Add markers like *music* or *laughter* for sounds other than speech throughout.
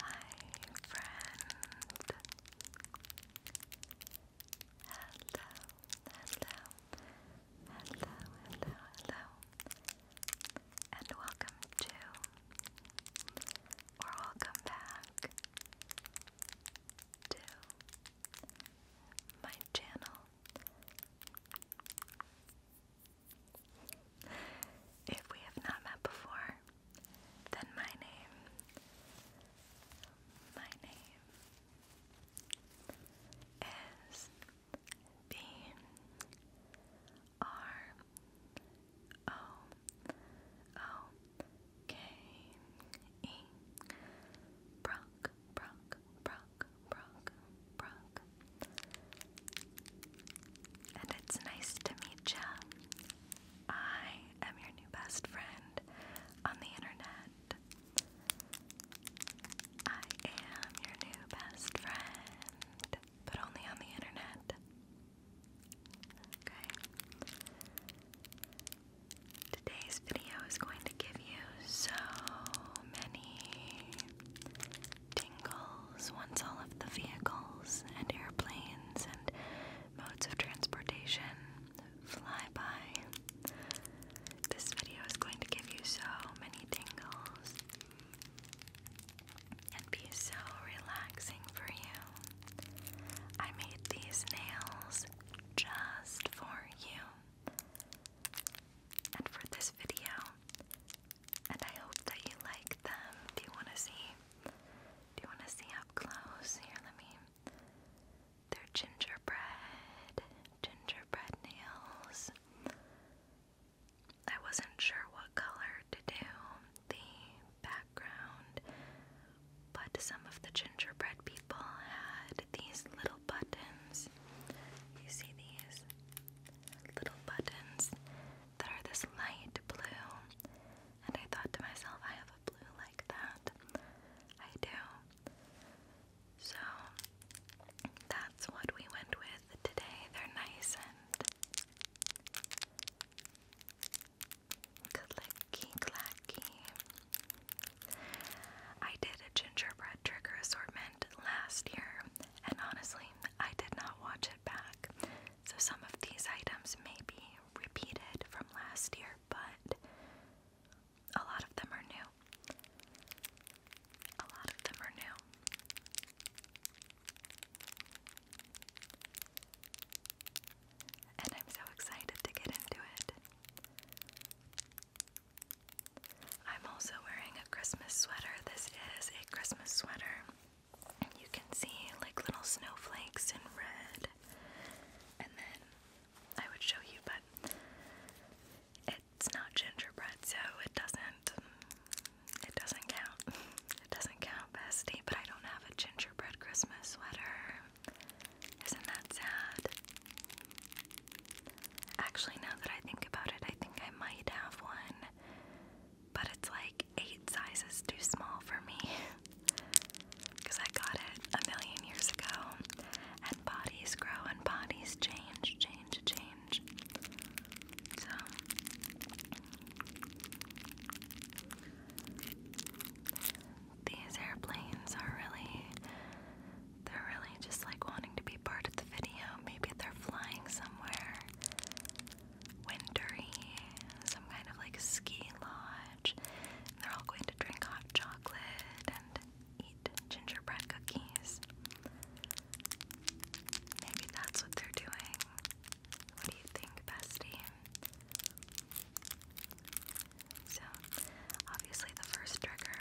Hi, friend. Hello, hello, hello, hello, hello, and welcome to, or welcome back to my channel. If we have not met before, then my name, my name is B R O O K E Brock, Brock, Brock, Brock, Brock. And it's nice to meet ya. I am your new best friend on the internet. I am your new best friend, but only on the internet. Okay. Today's video is going to give you so many tingles once all of the vehicles and airplanes and modes of transportation fly by. This video is going to give you so many tingles and be so relaxing for you. I made these nails just for you. And for this video, and I hope that you like them. Do you want to see? Do you want to see up close? Here, let me. They're gingerbread, gingerbread nails. I wasn't sure what color to do the background, but some of the gingerbread people had these little buttons. You see these? little buttons that are this light blue. And I thought to myself, I have a blue like that. I do. So that's what we went with today. They're nice and clicky clacky. I did a gingerbread trigger assortment last year and honestly, I did not watch it back, so some of these items may be repeated from last year, but a lot of them are new. A lot of them are new. And I'm so excited to get into it. I'm also wearing a Christmas sweater. This is a Christmas sweater. and You can see like little snowflakes in red. And then I would show you, but it's not gingerbread, so it doesn't it doesn't count. *laughs* It doesn't count, bestie, but I don't have a gingerbread Christmas sweater. Isn't that sad? Actually, now that I think about it, I think I might have one, but it's like eight sizes too small for me. Because *laughs* I got it a million years ago, and bodies grow and bodies change, change, change. So. These airplanes are really they're really just like wanting to be part of the video. Maybe they're flying somewhere wintery, some kind of like ski lodge. they're all going to drink hot chocolate and eat gingerbread cookies. Maybe that's what they're doing. What do you think, bestie? So, obviously, the first trigger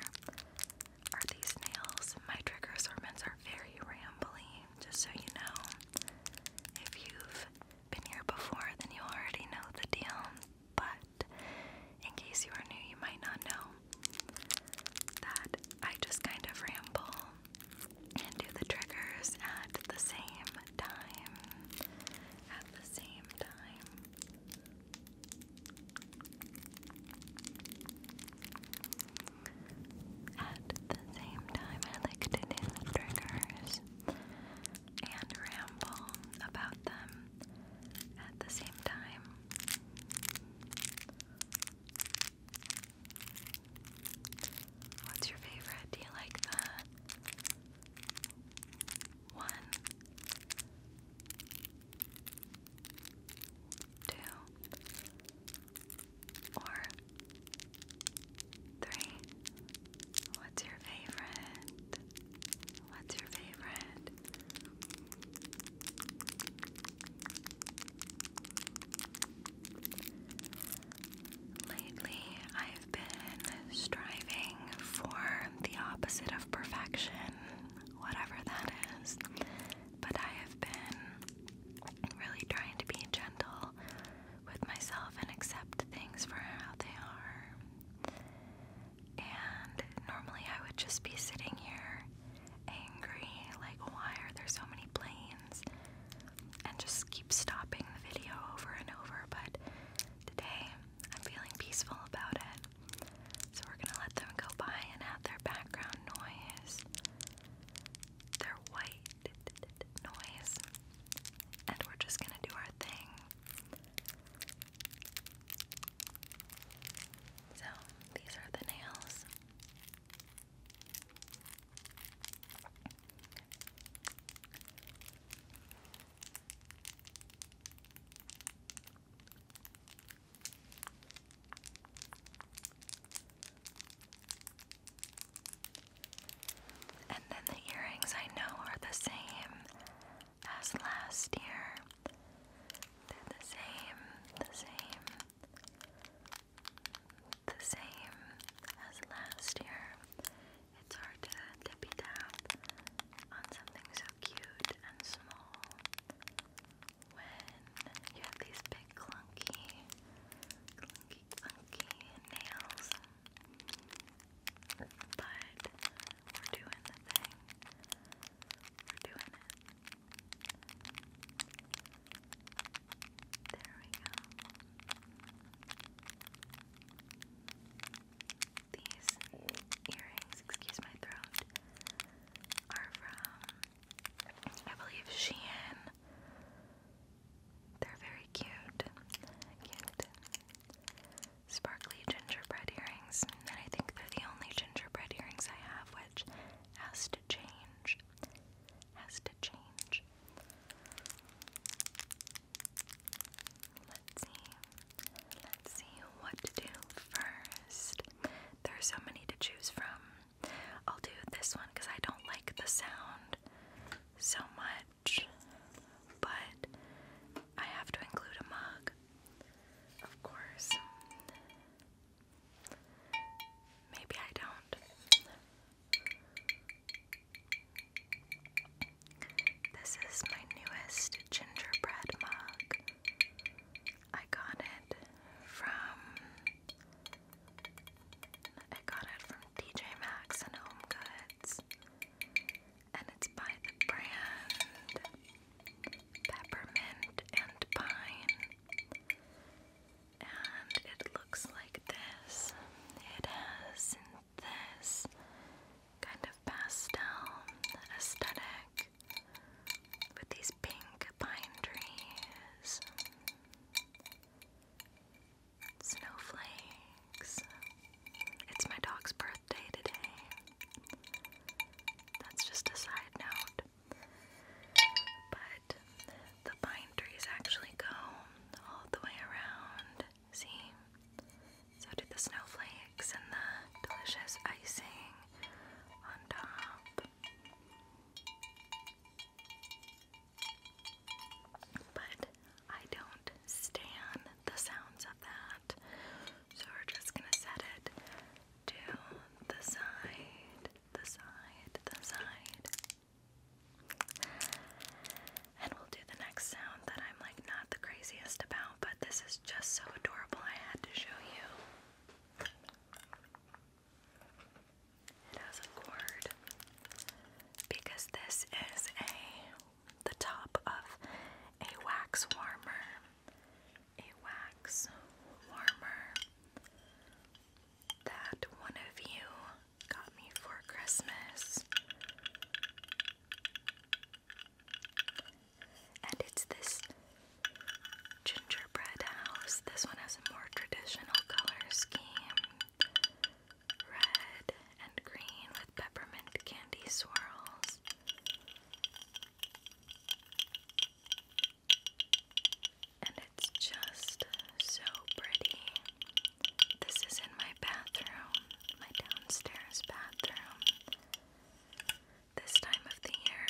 are these nails. My trigger assortments are very rambly, just so you know. If you've been here before, then you already know the deal, but in case you are new, you might not know that I just kind of ramble and do the triggers at the same time. At the same time. At the same time, I like to do triggers and ramble about them at the same time. What's your favorite? Do you like that one two, or three. What's your favorite? What's your favorite? Lately, I've been striving for the opposite of perfection whatever that is. But I have been really trying to be gentle with myself and accept things for how they are. And normally I would just be sitting here angry, like, why are there so many planes? And just keep stopping the video over and over. But today I'm feeling peaceful about it. So we're gonna let them go by and have their background noise, their white noise, and we're just gonna do our thing. So these are the nails. And then the earrings I know are the same as last year. They're the same, the same, the same as last year. It's hard to tippy tap on something so cute and small when you have these big clunky, clunky, clunky nails. But we're doing the thing. We're doing it. There we go these earrings, excuse my throat, are from, I believe, Shein. They're very cute. Cute. Sparkly gingerbread earrings. And I think they're the only gingerbread earrings I have, which has to change. Has to change. Let's see. Let's see what to do first. There are so many to choose from. I'll do this one because I don't like the sound so much, but I have to include a mug, of course. Maybe I don't. This is my newest gingerbread mug. I got it from I got it from TJ Maxx and Home Goods. And it's by the brand Peppermint and Pine. And it looks like this. It has this kind of pastel aesthetic with these pink pine trees, snowflakes. It's my dog's birthday today. That's just a side note. But the pine trees actually go all the way around. See? So did the snowflakes and the delicious icing on top. But I don't stand the sounds of that. So we're just gonna set it to the side, the side, the side. And we'll do the next sound that I'm like not the craziest about but this is just so adorable. I had to show you. It has a cord because this is a the top of a wax warmer. A wax warmer that one of you got me for Christmas. And it's this gingerbread house. This one has a more traditional color scheme red and green with peppermint candy swirls. And it's just so pretty. This is in my bathroom, my downstairs bathroom this time of the year.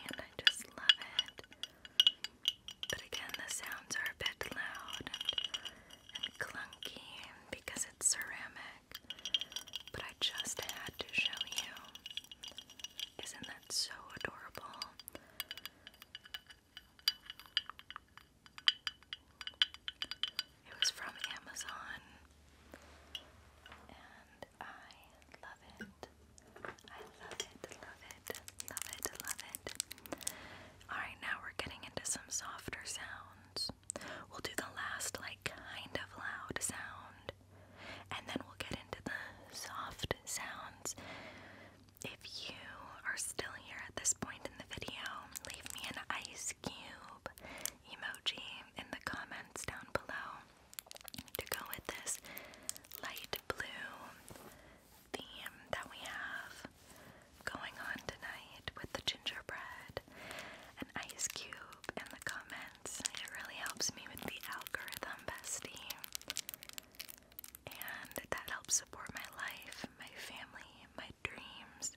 And I just love it. But again, the sounds are a bit loud and, clunky because it's ceramic. But I just had to show you. Isn't that so adorable? It was from Amazon and I love it. I love it, love it, love it, love it. Alright, now we're getting into some softer sounds. We'll do the last, like, kind of loud sound and then we'll get into the soft sounds. If you are still here at this point in the video, leave me an ice cube emoji in the comments down below to go with this light blue theme that we have going on tonight with the gingerbread and ice cube in the comments. It really helps me with the algorithm, bestie and that helps support my life, my family, my dreams.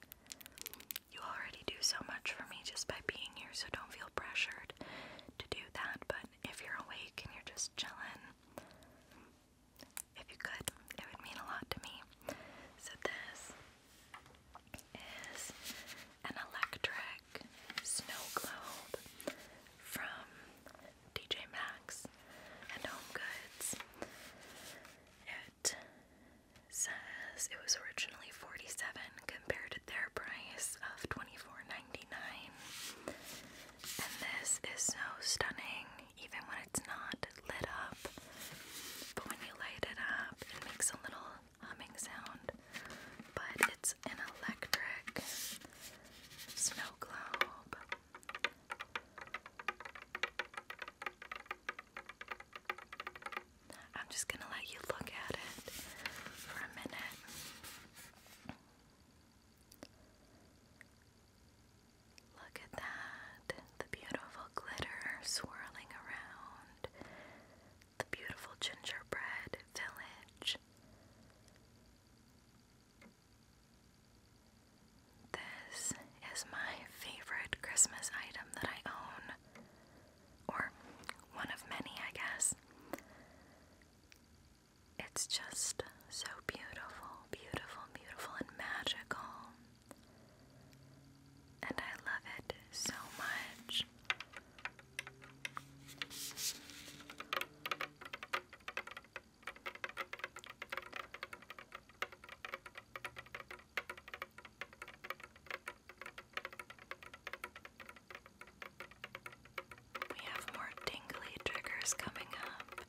You already do so much for me just by being here, so don't feel pressured to do that. But if you're awake and you're just chilling, if you could, it would mean a lot to me. So, this is an electric Snow Globe from DJ Maxx and Home Goods. It says it was originally 47 compared to their price of 24.99. And this is so stunning even when it's not lit up. But when you light it up, it makes a little humming sound but it's an electric snow globe. I'm just gonna let you look at it for a minute. Look at that. The beautiful glitter swirling around. The beautiful gingerbread village. This is my favorite Christmas item that I own, or one of many, I guess. It's just so beautiful, beautiful, beautiful, and magical. And I love it so much. We have more tingly triggers coming up.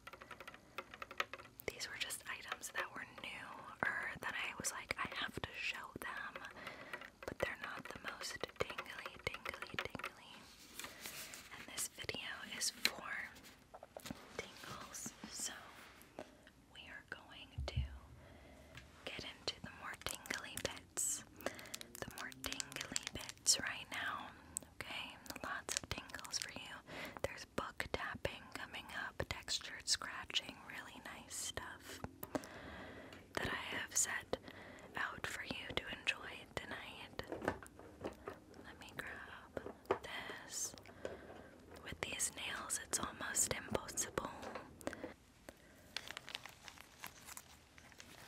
These were just items that were new or that I was like, I have to show them but they're not the most tingly, tingly, tingly. And this video is for tingles, so we are going to get into the more tingly bits. The more tingly bits right now, okay? Lots of tingles for you. There's book tapping coming up, textured scratching, really nice stuff that I have set out for you to enjoy tonight. Let me grab this. With these nails, it's almost impossible.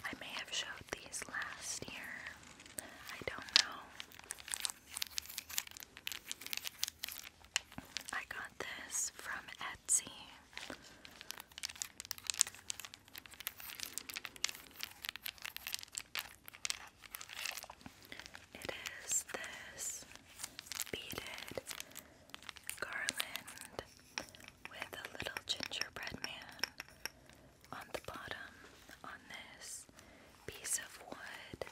I may have showed these last year. I don't know. I got this from Etsy. It is this beaded garland with a little gingerbread man on the bottom on this piece of wood.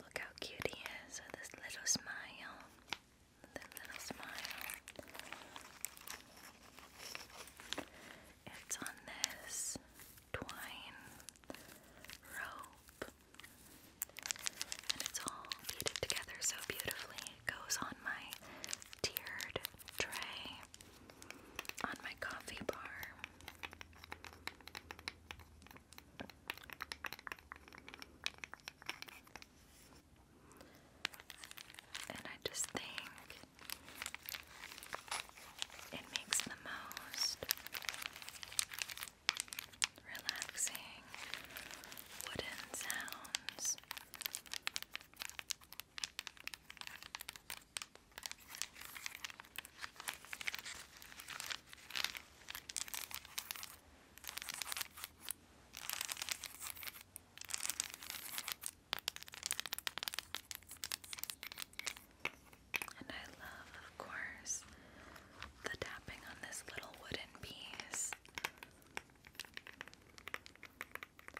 Look how cute he is with this little smile. little smile. It's on this twine rope. And it's all beaded together so beautifully. It goes on my tiered tray on my coffee bar. And I just think it makes the most relaxing wooden sounds and I love, of course, the tapping on this little wooden piece.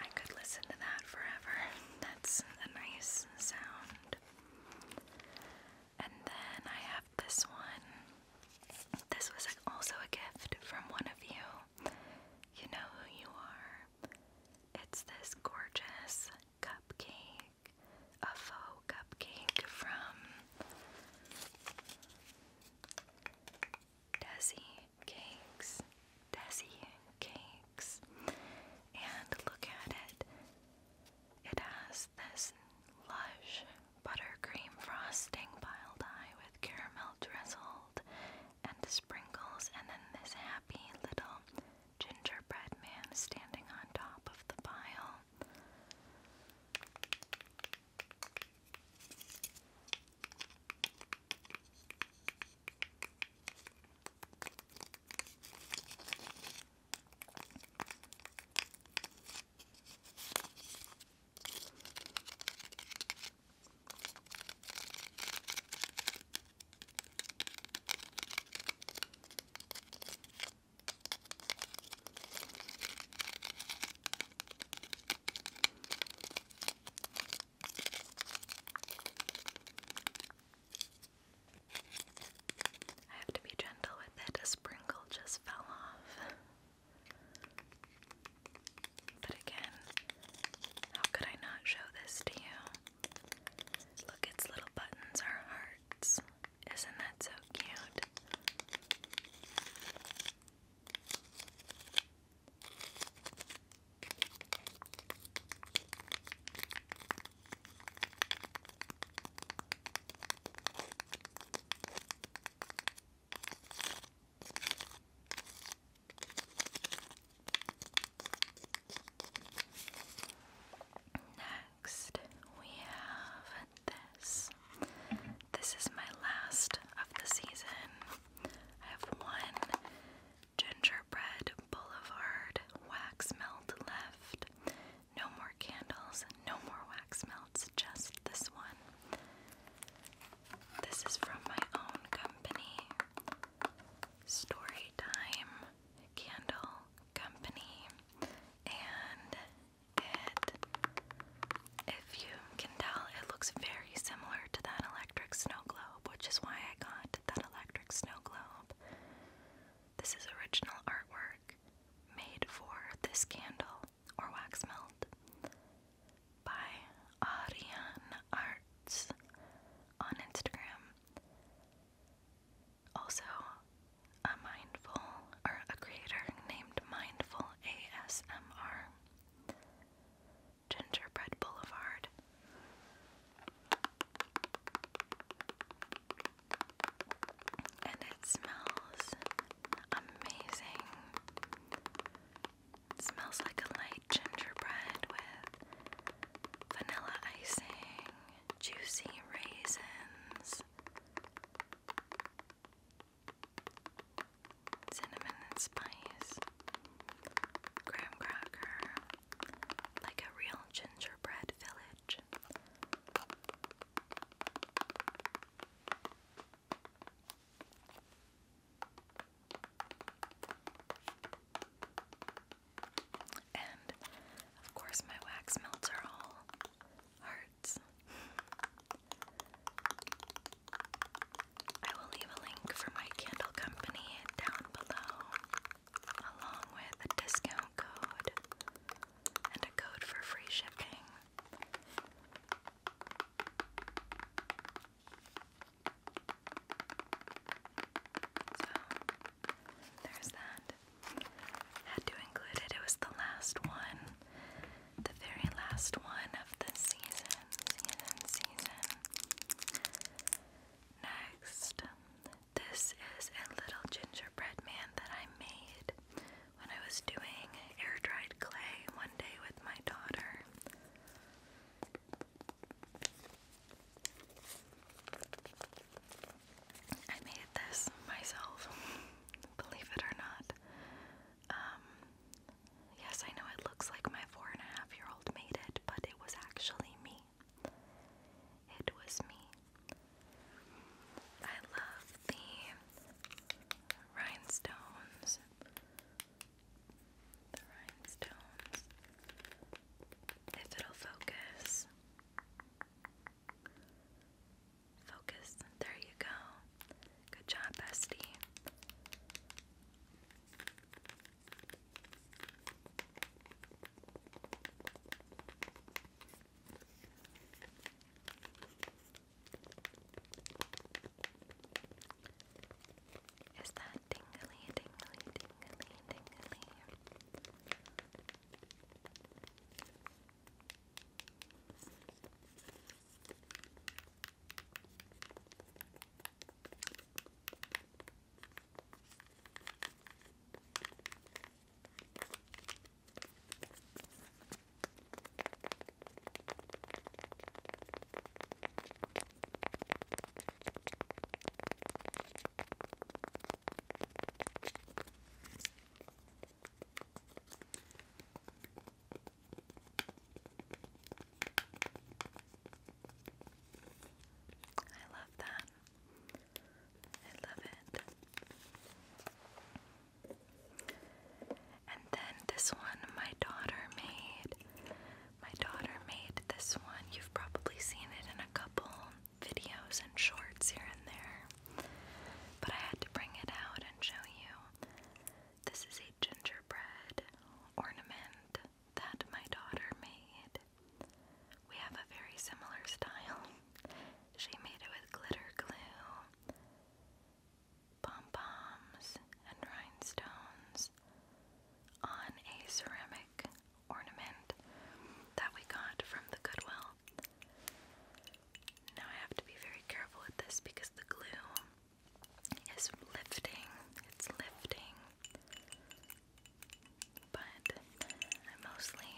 I could listen to that forever. *laughs* That's a nice sound. And then I have this one. This was also a gift from one of you. You know who you are. It's this gorgeous cupcake, a faux cupcake from Desi Cakes. Desi Cakes. And look at it. It has this lush buttercream frosting piled high with caramel drizzled and sprinkles, and then this happy little gingerbread man standing on top of the pile. I have to be gentle with it. A sprinkle just fell off. But again, how could I not show this to you? Look, its little buttons are hearts. Isn't that so cute? Next, we have this. This is my last of the season. I have one gingerbread boulevard wax melt left. No more candles, no more wax melt else, just this one. This is from my own company, Storytime Candle Company, and if you can tell, it looks very similar to that electric snow globe, which is why I got that electric snow globe. This is original artwork made for this candle or Wax Melt by Arian Arts on Instagram. Also, a mindful or a creator named Mindful ASMR. Gingerbread Boulevard. And it smells amazing. It smells like a light gingerbread with vanilla icing, juicy raisins, cinnamon and spice, graham cracker, like a real gingerbread village. And of course, my wax melts are all hearts. I will leave a link for my candle company down below, along with a discount code and a code for free shipping there's that. Had to include it. It was the last one, the very last one of the season, season, season. Next, this is a little gingerbread man that I made when I was doing air dried clay one day with my daughter. I made this myself, *laughs* believe it or not. Um, yes, I know it looks like my four and a half year old made it, but it was actually me. It was me. I love the rhinestones. The rhinestones. If it'll focus. Focus. There you go. Good job, bestie. Is that tingly, tingly, tingly, tingly? I love that. I love it. And then this one my daughter made. My daughter made this one. You've probably seen it in a couple videos and shorts here and there. But I had to bring it out and show you. This is a gingerbread ornament that my daughter made. We have a very similar style. She made it with glitter glue pom poms, and rhinestones on a ceramic ornament that we got from the Goodwill. Now I have to be very careful with this because the glue is lifting. It's lifting. But mostly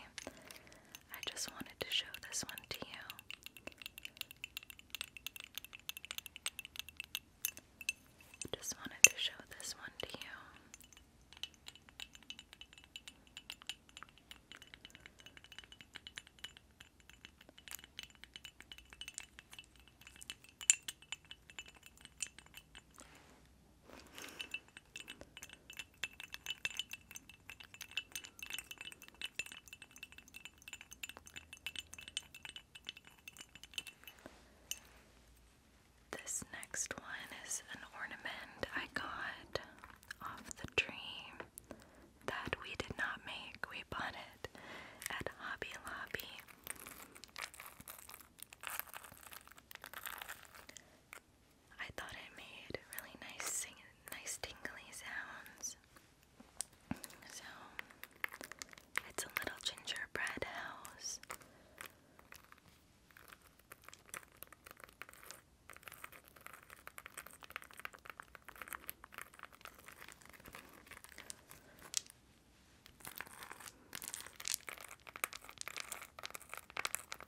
I just wanted to show this one to you. Just wanted to show this one to you. This next one is an ornament I got off the tree that we did not make. We bought it at Hobby Lobby. I thought it made really nice sing nice tingly sounds. So it's a little gingerbread house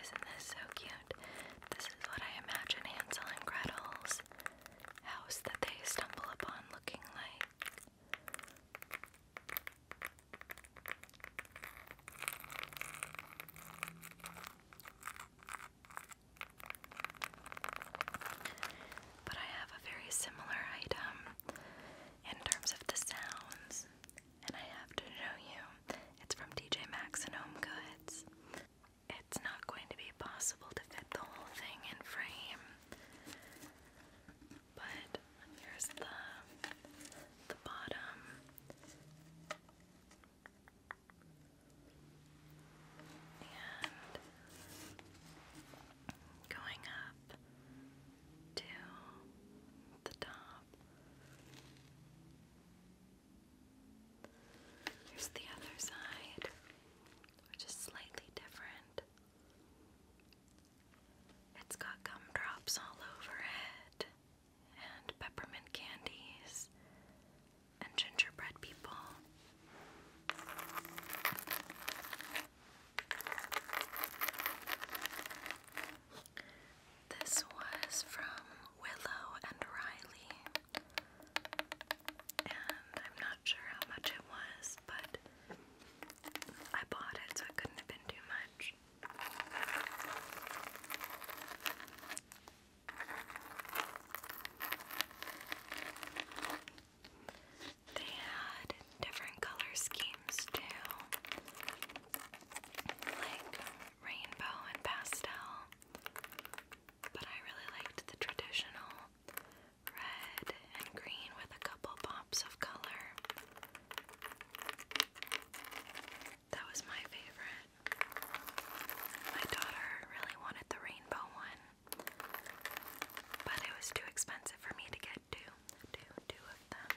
Isn't this so cute? This is what I imagine Hansel and Gretel's house that they stumble upon looking like. But I have a very similar item in terms of the sounds and I have to show you. It's from TJ Maxx and Home Goods. It's not going to be possible to fit the whole thing in frame, but here's the the bottom. And going up, to the top. Here's the other side, which is slightly different. It's got gumdrops all over it, and peppermint candies, and gingerbread people. This was from Willow and Riley, and I'm not sure how much it was, but I bought it, so it couldn't have been too much. They had different color schemes too, like rainbow and pastel. But I really liked the traditional red and green with a couple pops of color. That was my favorite. My daughter really wanted the rainbow one, but it was too expensive for me to get two, two, two of them.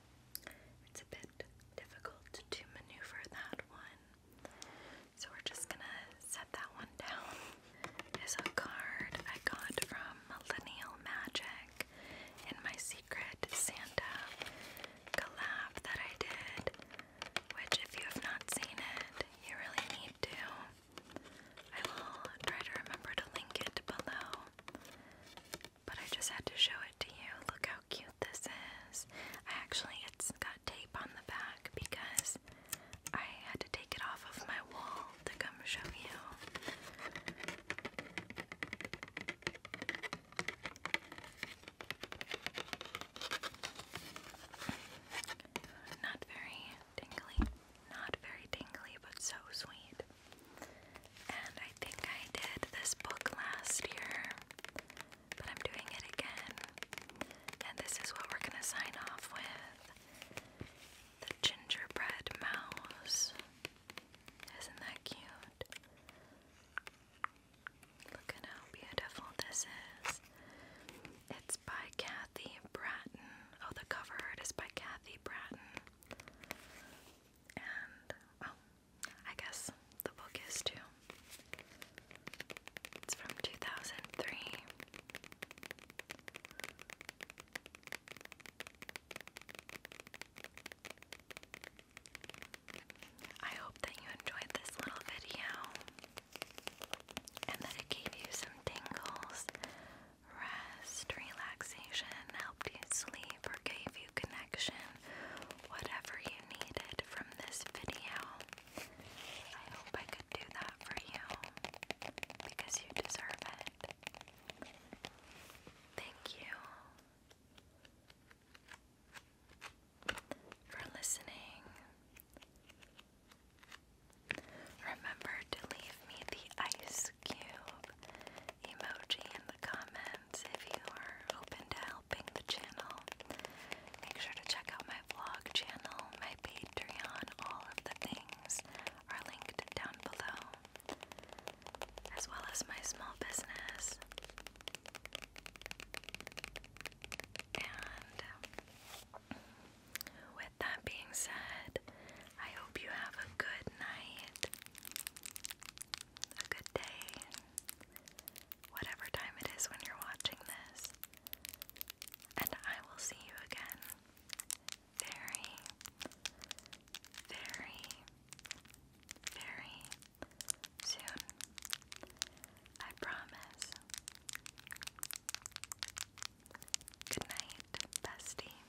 it's a bit difficult to maneuver that one. So we're just gonna set that one down. Is a card I got from Millennial Magic in my Secret Santa collab that I did, which if you have not seen it, you really need to. I will try to remember to link it below. But I just had to show it to you. Look how cute this is. I actually, it's got tape on the back because I had to take it off of my wall to come show you. Not very tingly, not very tingly, but so sweet. And I think I did this book last year, but I'm doing it again. And this is what we're going to sign off with The Gingerbread Mouse. Isn't that cute? Look at how beautiful this is. It's by Kathy Bratton. Oh, the cover is by Kathy Bratton. And, oh, I guess the book is too. It's from 2003. I hope that you enjoyed this little video and that it gave you some tingles, rest, relaxation, helped you sleep, or gave you connection whatever you needed from this video. I hope I could do that for you because you deserve it. Thank you for listening. Remember to leave me the ice cube emoji in the comments if you are open to helping the channel. Make sure to check out my vlog channel, my Patreon, all of the things are linked down below, as well as my small business. And um, with that being said, I hope you have a good night a good day, whatever time it is when you're watching this. And I will see you again very, very, very soon. I promise. Good night, bestie.